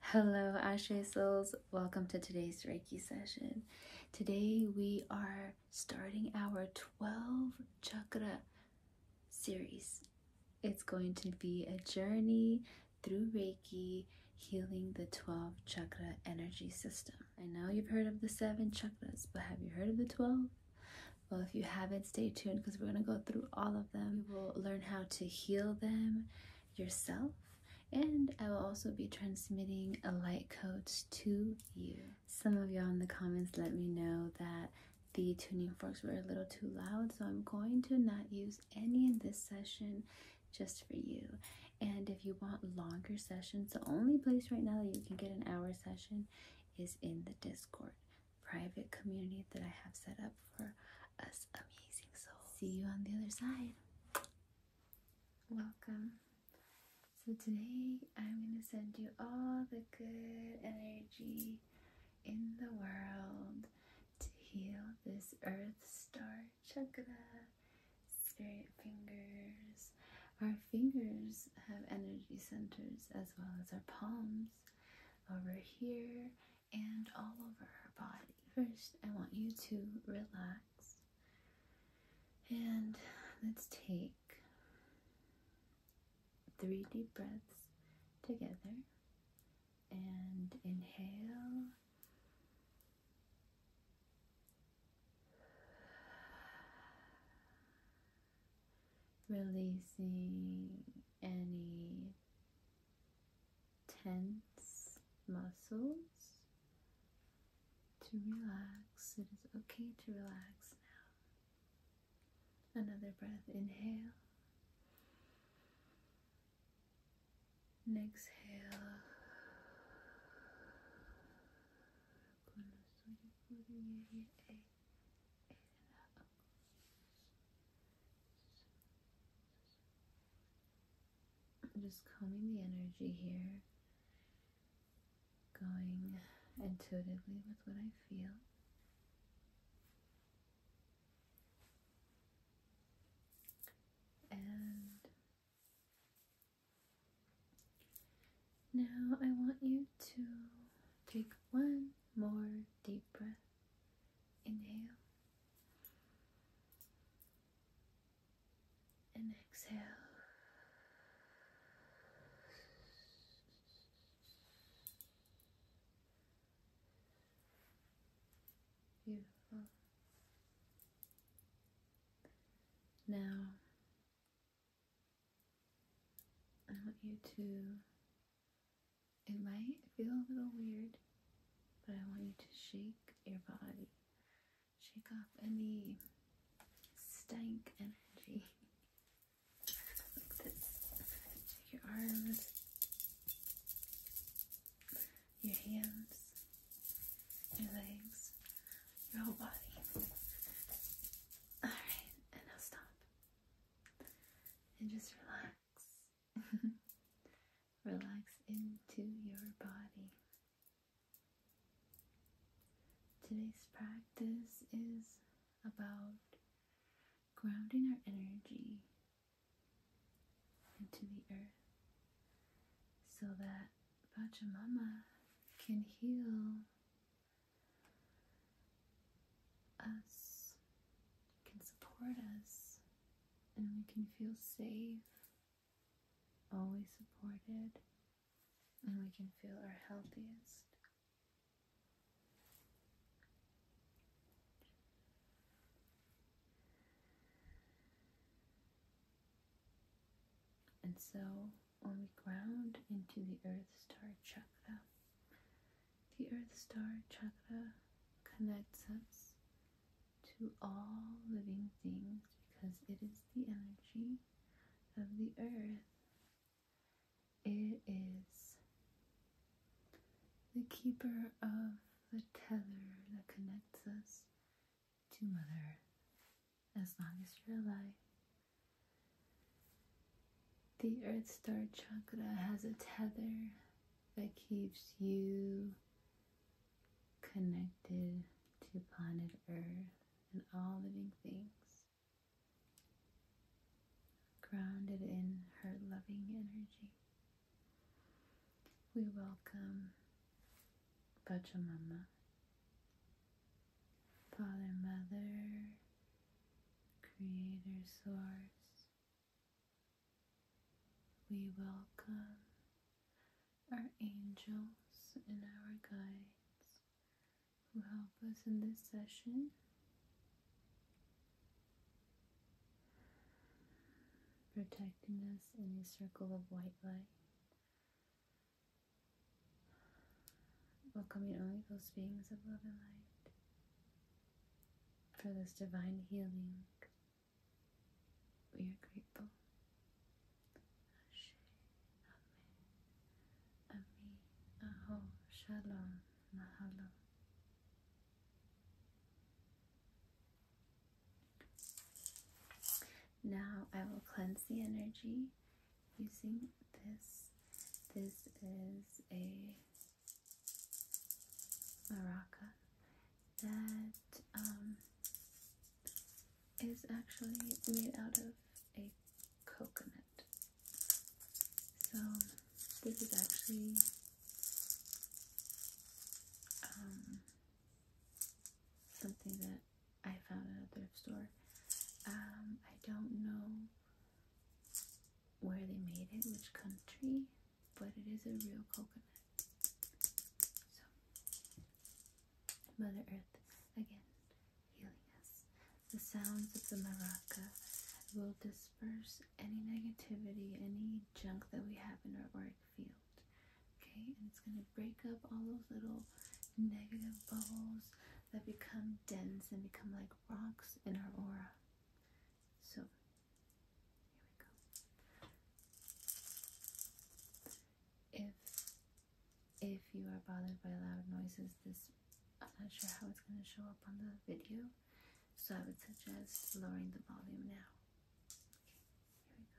Hello, Ashe Souls. Welcome to today's Reiki session. Today we are starting our 12 chakra series. It's going to be a journey through Reiki, healing the 12 chakra energy system. I know you've heard of the seven chakras, but have you heard of the 12? Well, if you haven't, stay tuned because we're going to go through all of them. We will learn how to heal them yourself, and I will also be transmitting a light code to you. Some of y'all in the comments let me know that the tuning forks were a little too loud, so I'm going to not use any in this session just for you. And if you want longer sessions, the only place right now that you can get an hour session is in the Discord private community that I have set up for us amazing souls. See you on the other side. Welcome. So today I'm going to send you all the good energy in the world to heal this earth star chakra, spirit fingers, our fingers have energy centers as well as our palms over here and all over our body. First, I want you to relax and let's take three deep breaths together and inhale Releasing any tense muscles to relax. It is okay to relax now. Another breath, inhale. And exhale. 에라 I'm just combing the energy here, going intuitively with what I feel. And now I want you to take one more deep breath. Inhale and exhale. Beautiful. Now I want you to, it might feel a little weird, but I want you to shake your body. Shake off any stank energy. like Shake your arms, your hands your legs, your whole body. Alright, and now stop. And just relax. relax into your body. Today's practice is about grounding our energy into the earth so that Pachamama can heal us, can support us, and we can feel safe, always supported, and we can feel our healthiest. And so when we ground into the Earth Star Chakra, the Earth Star Chakra connects us to all living things because it is the energy of the Earth. It is the keeper of the tether that connects us to Mother Earth as long as you're alive. The Earth Star Chakra has a tether that keeps you connected to planet Earth and all living things, grounded in her loving energy. We welcome Father, Mother, Creator, Source, we welcome our angels and our guides who help us in this session. protecting us in a circle of white light welcoming only those beings of love and light for this divine healing. We are grateful. Ashe, Ame, Ami, Shalom, Mahalo. Now I will cleanse the energy using this. This is a maraca that um, is actually made out of a coconut. So this is actually um, something that I found at a thrift store. Um, I don't know where they made it, which country, but it is a real coconut. So, Mother Earth, again, healing us. The sounds of the maraca will disperse any negativity, any junk that we have in our auric field. Okay, and it's going to break up all those little negative bubbles that become dense and become like rocks in our aura. So, here we go. If if you are bothered by loud noises, this I'm not sure how it's going to show up on the video, so I would suggest lowering the volume now. Okay, here we go.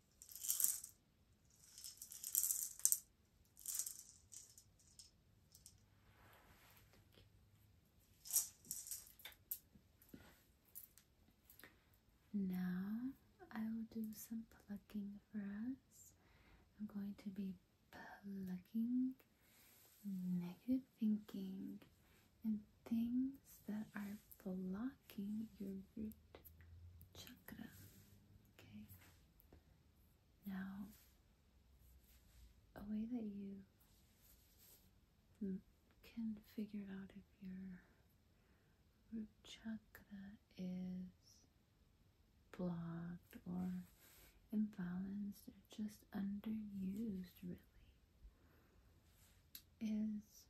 Now I will do some plucking for us. I'm going to be plucking negative thinking and things that are blocking your root chakra. Okay. Now, a way that you can figure out if your root chakra is blocked or imbalanced or just underused, really, is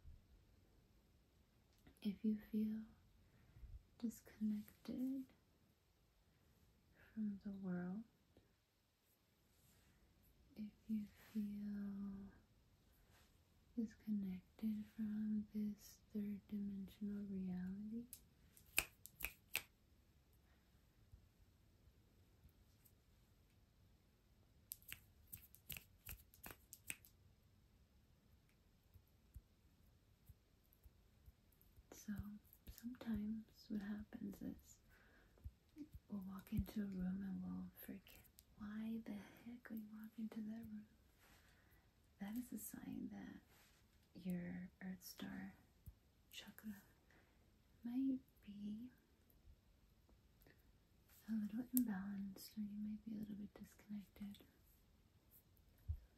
if you feel disconnected from the world, if you feel disconnected from this third dimensional reality, so sometimes what happens is we'll walk into a room and we'll forget why the heck we walk into that room. That is a sign that your earth star chakra might be a little imbalanced or you may be a little bit disconnected.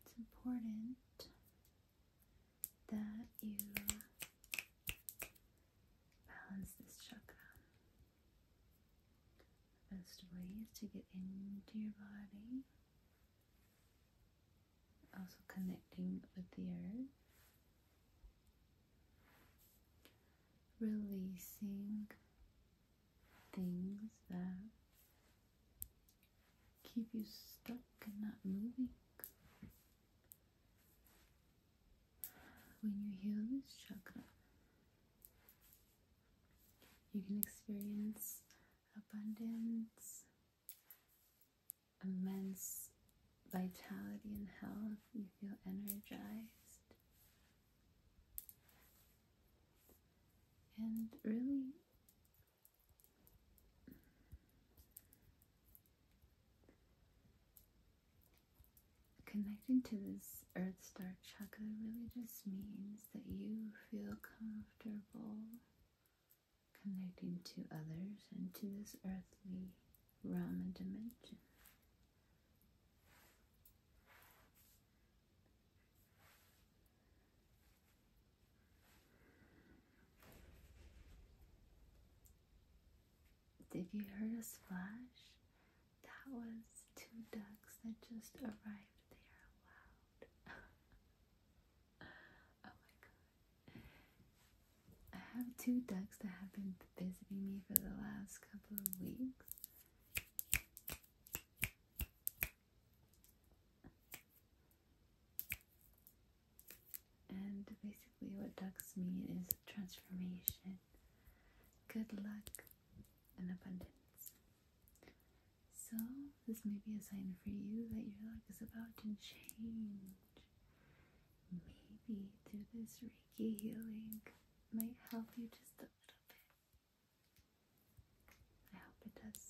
It's important that you balance this chakra. The best way is to get into your body, also connecting with the earth. Releasing things that keep you stuck and not moving. When you heal this chakra, you can experience abundance, immense vitality and health. You feel energized. And really, connecting to this Earth Star Chakra really just means that you feel comfortable connecting to others and to this earthly realm and dimension. Did you hear a splash? That was two ducks that just arrived. They are loud. oh my god. I have two ducks that have been visiting me for the last couple of weeks. And basically, what ducks mean is transformation, good luck, and abundance. So, this may be a sign for you that your luck is about to change. Maybe through this Reiki healing might help you just a little bit. I hope it does.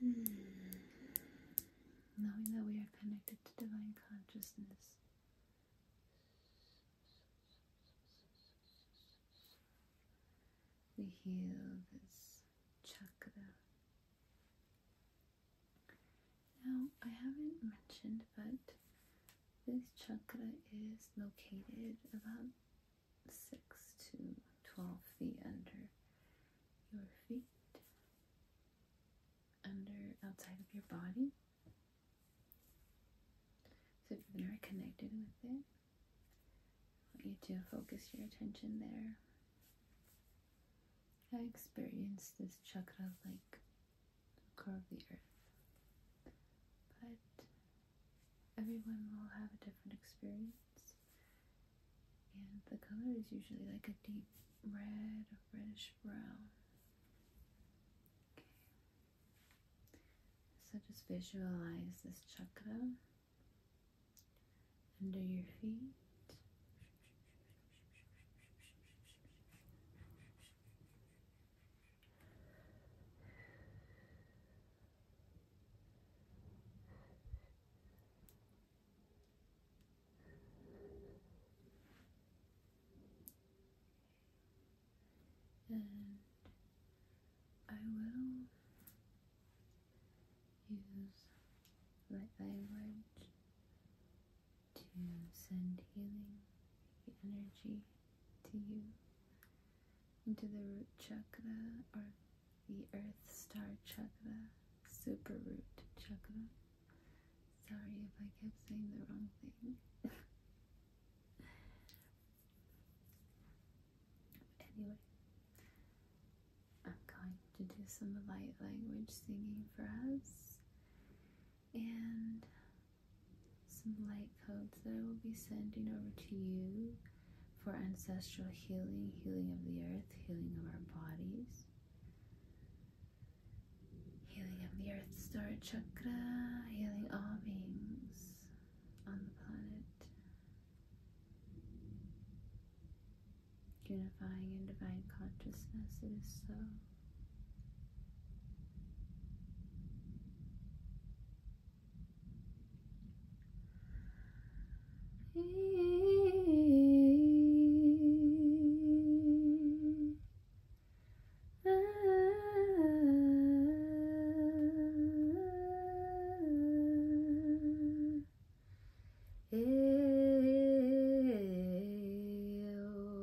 Hmm. Knowing that we are connected to divine consciousness. We heal this chakra now, I haven't mentioned, but this chakra is located about 6 to 12 feet under your feet, under outside of your body. So, if you've never connected with it, I want you to focus your attention there. I experienced this chakra like the of the earth. But everyone will have a different experience, and the color is usually like a deep red or reddish brown. Okay. So just visualize this chakra under your feet and I will use light language to send healing energy to you into the root chakra or the earth star chakra, super root chakra. Sorry if I kept saying the wrong thing. anyway, I'm going to do some light language singing for us and some light codes that I will be sending over to you for ancestral healing, healing of the earth, healing of our bodies, healing of the earth's star chakra, healing all beings on the planet unifying in divine consciousness. It is so. Eh, eh, eh, oh.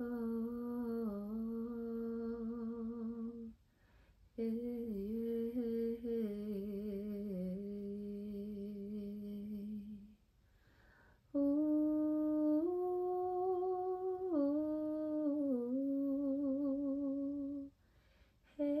Oh, yeah, Oh, hey.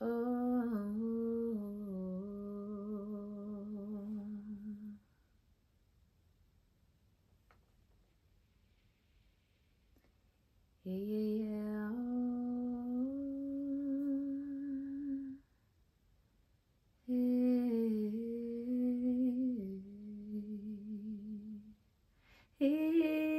Oh. Yeah, yeah, yeah.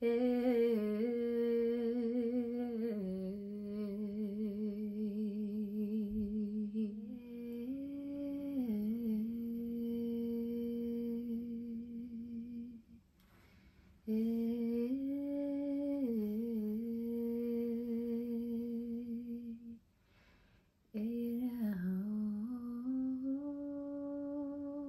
it all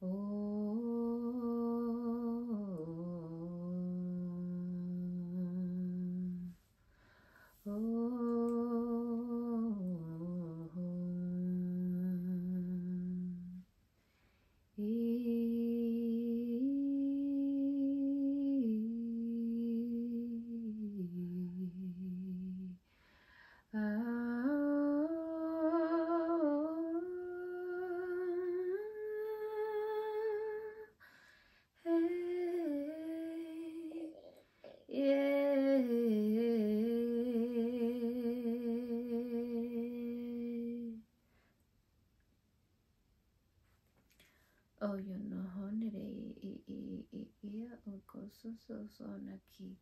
Oh, Om. E Oh, oh, you know, honey, yeah, eh, eh, eh, oh, so so so,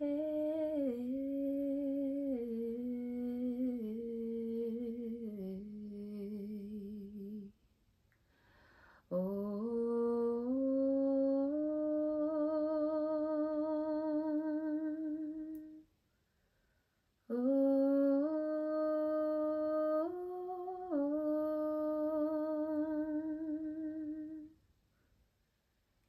Hey. Oh. oh.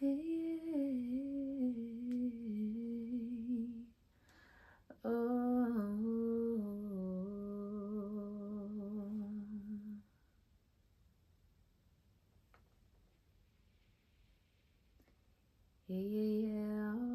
Hey, oh. Yeah, Oh.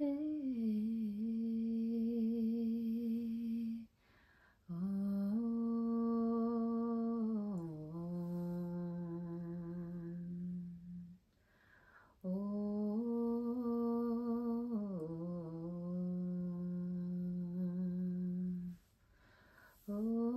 Hey, oh, oh, oh, oh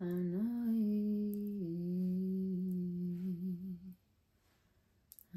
and I,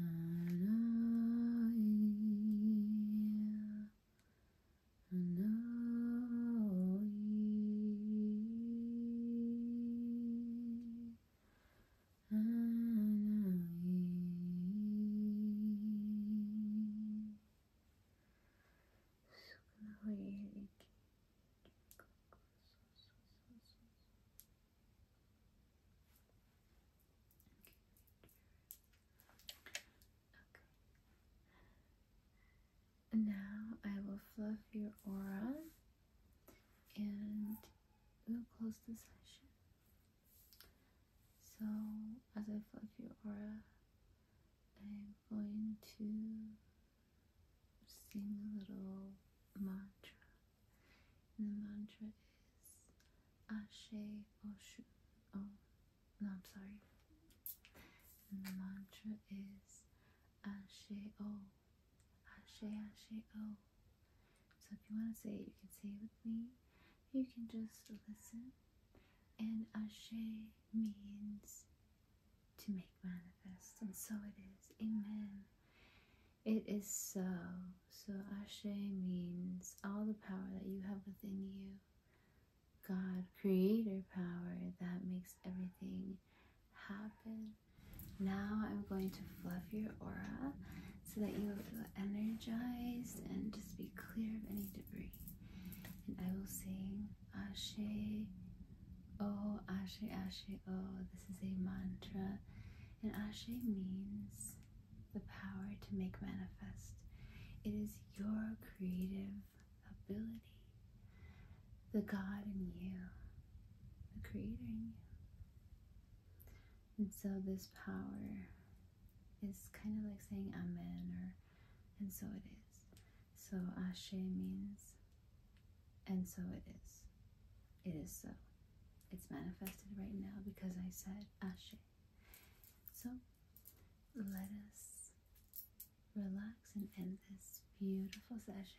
and I, now I will fluff your aura and we'll close the session. So, as I fluff your aura, going to sing a little mantra. And the mantra is Ashe Oshu. Oh, no, I'm sorry. And the mantra is Ashe O. Ashe Ashe O. So if you want to say it, you can say it with me. You can just listen. And Ashe means to make manifest, and so it is. Amen. It is so. So, Ashe means all the power that you have within you. God, creator power that makes everything happen. Now, I'm going to fluff your aura so that you will feel energized and just be clear of any debris. And I will sing. Ashe oh, Ashe, Ashe oh. This is a mantra, and Ashe means the power to make manifest. It is your creative ability, the God in you, the Creator in you. And so this power is kind of like saying Amen, or and so it is. So ashe means, and so it is. It is so. It's manifested right now because I said ashe. So let us relax and end this beautiful session.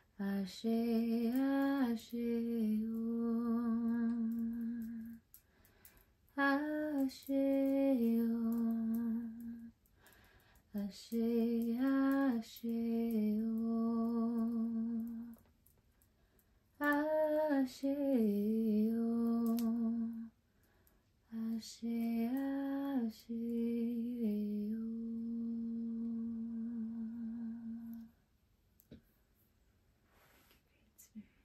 Ashe, Ashe, Om. Ashe, Om. Ashe, Ashe, Om. Ashe, Om. Ashe, Ashe. 하시래요. Great Spirit.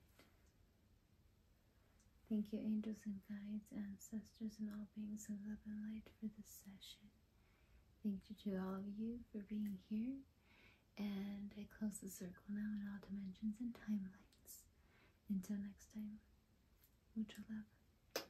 Thank you, angels and guides, ancestors, and all beings of love and light for this session. Thank you to all of you for being here. And I close the circle now in all dimensions and timelines. Until next time, mucho love.